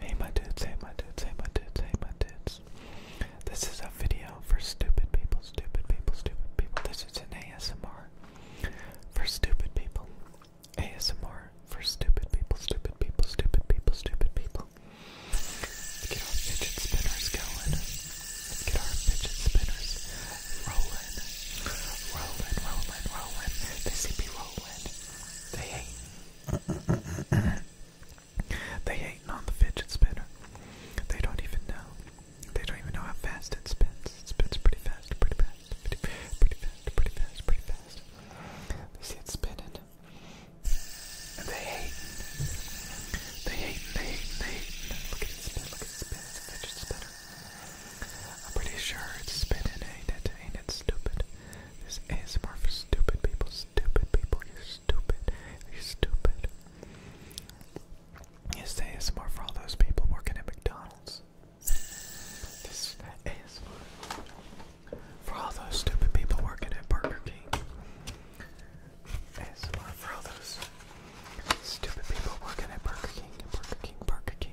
Hey my dudes, hey my dudes, hey my dudes, hey my dudes. This is a video for stupid people, stupid people, stupid people. This is an ASMR for stupid people. ASMR for stupid people, stupid people, stupid people, stupid people. Let's get our fidget spinners going. Let's get our fidget spinners rolling. Rolling, rolling, rolling. They see me rolling. They hate they hating on the fidget spinner. They don't even know. They don't even know how fast it spins. It spins pretty fast, pretty fast, pretty, pretty fast, pretty fast, pretty fast. They see it spinning. And they hate. They hate, they hate, they hate. Look at it spin, look at it spin. It's fidget spinner. I'm pretty sure it's spinning, ain't it? Ain't it stupid? This ASMR for stupid people, stupid people, you're stupid, you're stupid. This ASMR for all those people working at McDonald's. This ASMR for all those stupid people working at Burger King. ASMR for all those stupid people working at Burger King, Burger King, Burger King.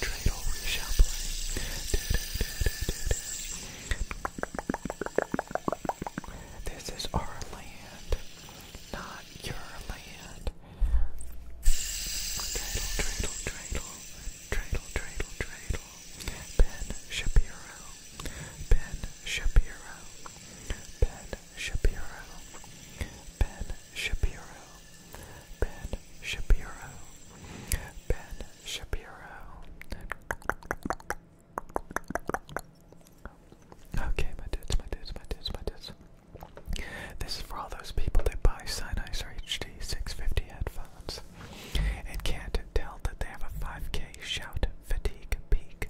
dreidel we shall play. This is our land, not your land. Dreidel, dreidel, dreidel, dreidel, dreidel, dreidel. Ben Shapiro, Ben Shapiro, Ben Shapiro, Ben Shapiro. Ben Shapiro. Ben Shapiro. Okay, my dudes, my dudes, my dudes, my dudes. This is for all those people that buy Sennheiser HD 650 headphones and can't tell that they have a 5K shout fatigue peak,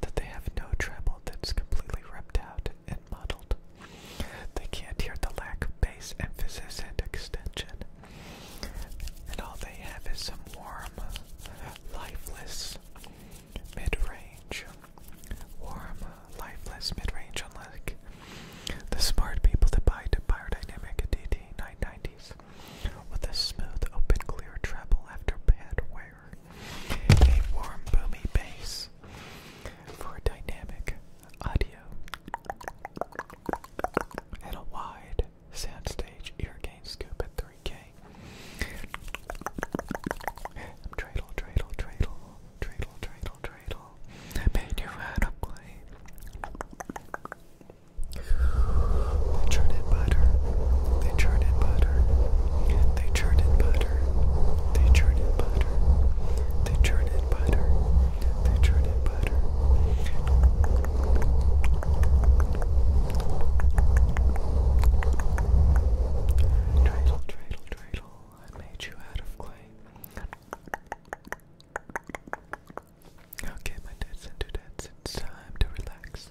that they have no treble that's completely ripped out, and muddled. They can't hear the lack of bass emphasis and extension. And all they have is some warm, lifeless mid-range. Warm, lifeless mid-range, unlike the smart people that buy the Biodynamic DT990s with a smooth, open, clear treble after bad wear a warm, boomy bass for dynamic audio, and a wide soundstage ear gain scoop at 3K. Dreidel, dreidel, dreidel, dreidel, dreidel, dreidel. I made you out of clay. They churned in butter. They churned in butter. They churned in butter. They churn in butter. They churn in butter. They churn in butter. Dreidel, dreidel, dreidel. I made you out of clay. Okay, my tits and dudettes, it's time to relax.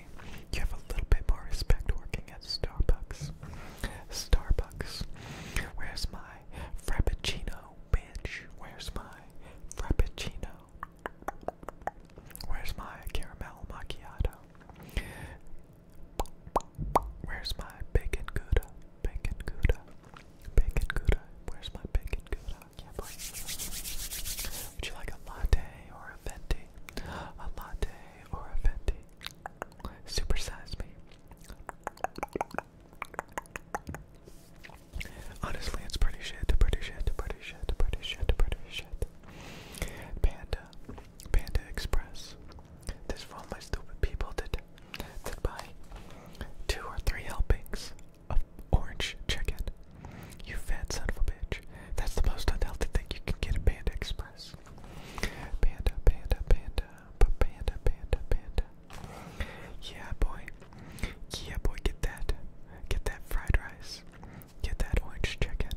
You have a little bit more respect working at Starbucks. Starbucks. Where's my Frappuccino, bitch? Where's my Frappuccino? Where's my caramel macchiato? Where's my bacon gouda? Bacon gouda. Bacon gouda. Where's my bacon gouda? Would you like a latte or a venti? A latte or a venti? Supersize me. Honestly, it's pretty shit, pretty shit, pretty shit, pretty shit, pretty shit. Panda, Panda Express. This for all my stupid people that, that buy two or three helpings of orange chicken. You fat son of a bitch. That's the most unhealthy thing you can get at Panda Express. Panda, panda, panda, panda, panda, panda. Yeah, boy. Yeah, boy, get that. Get that fried rice. Get that orange chicken.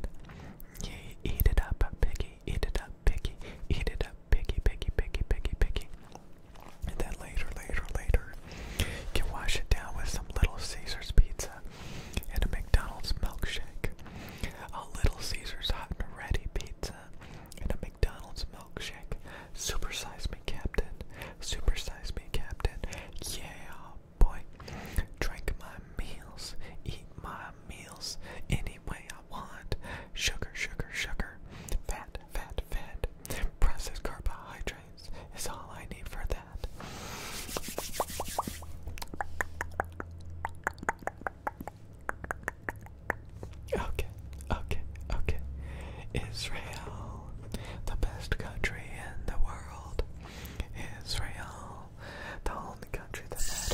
Yay, eat it up, piggy. Eat it up, piggy. Eat it up, piggy, piggy, piggy, piggy, piggy. And then later, later, later, you can wash it down with some Little Caesars pizza and a McDonald's milkshake. A Little Caesars hot and ready pizza and a McDonald's milkshake. Supersize me, Captain. Supersize me, Captain. Yeah, boy. Drink my meals. Eat my meals any way I want. Sugar, sugar, sugar. Fat, fat, fat good. Processed carbohydrates is all I need for that. Okay, okay, okay. Israel, the best country in the world. Israel, the only country that matters.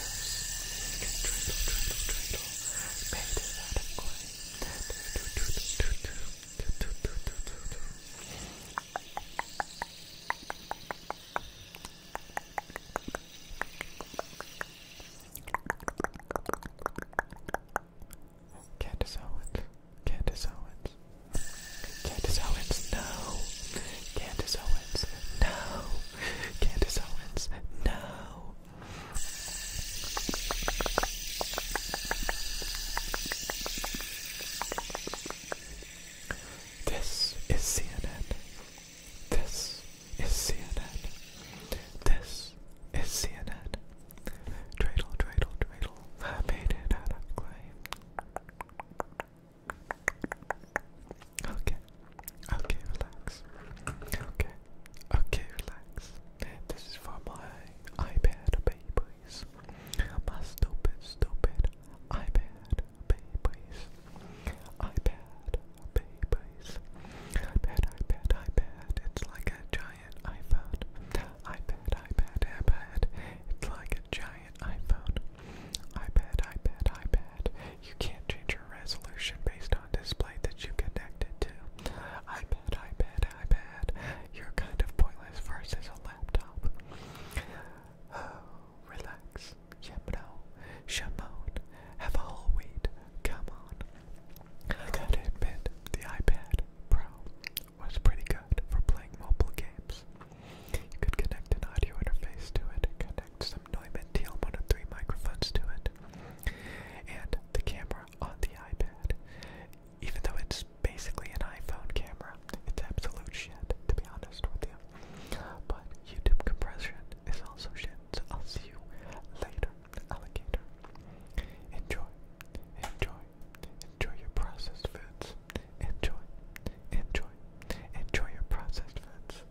Candace Owens. Candace Owens. Candace Owens, no. Candace Owens, no. Candace Owens, no. This is CNN. This is CNN. This is CNN. Dreidel, dreidel, dreidel. I made it out of clay. Okay. Okay, relax. Okay. Okay, relax. This is for my iPad babies. My stupid, stupid iPad babies. iPad babies. iPad, iPad, iPad. It's like a giant iPhone. iPad, iPad, iPad. It's like a giant iPhone. iPad, iPad, iPad. You can't change resolution based on display that you connected to. iPad, iPad, iPad. You're kind of pointless versus a laptop. Oh, relax. Yemno. Shamone. Have a whole weed. Come on. I gotta admit, the iPad Pro was pretty good for playing mobile games. You could connect an audio interface to it, connect Neumann TL103 microphones to it, and the camera on the iPad. Even though it's basically an iPhone camera, it's absolute shit, to be honest with you. But YouTube compression is also shit, so I'll see you later, alligator. Enjoy, enjoy, enjoy your processed foods. Enjoy, enjoy, enjoy your processed foods.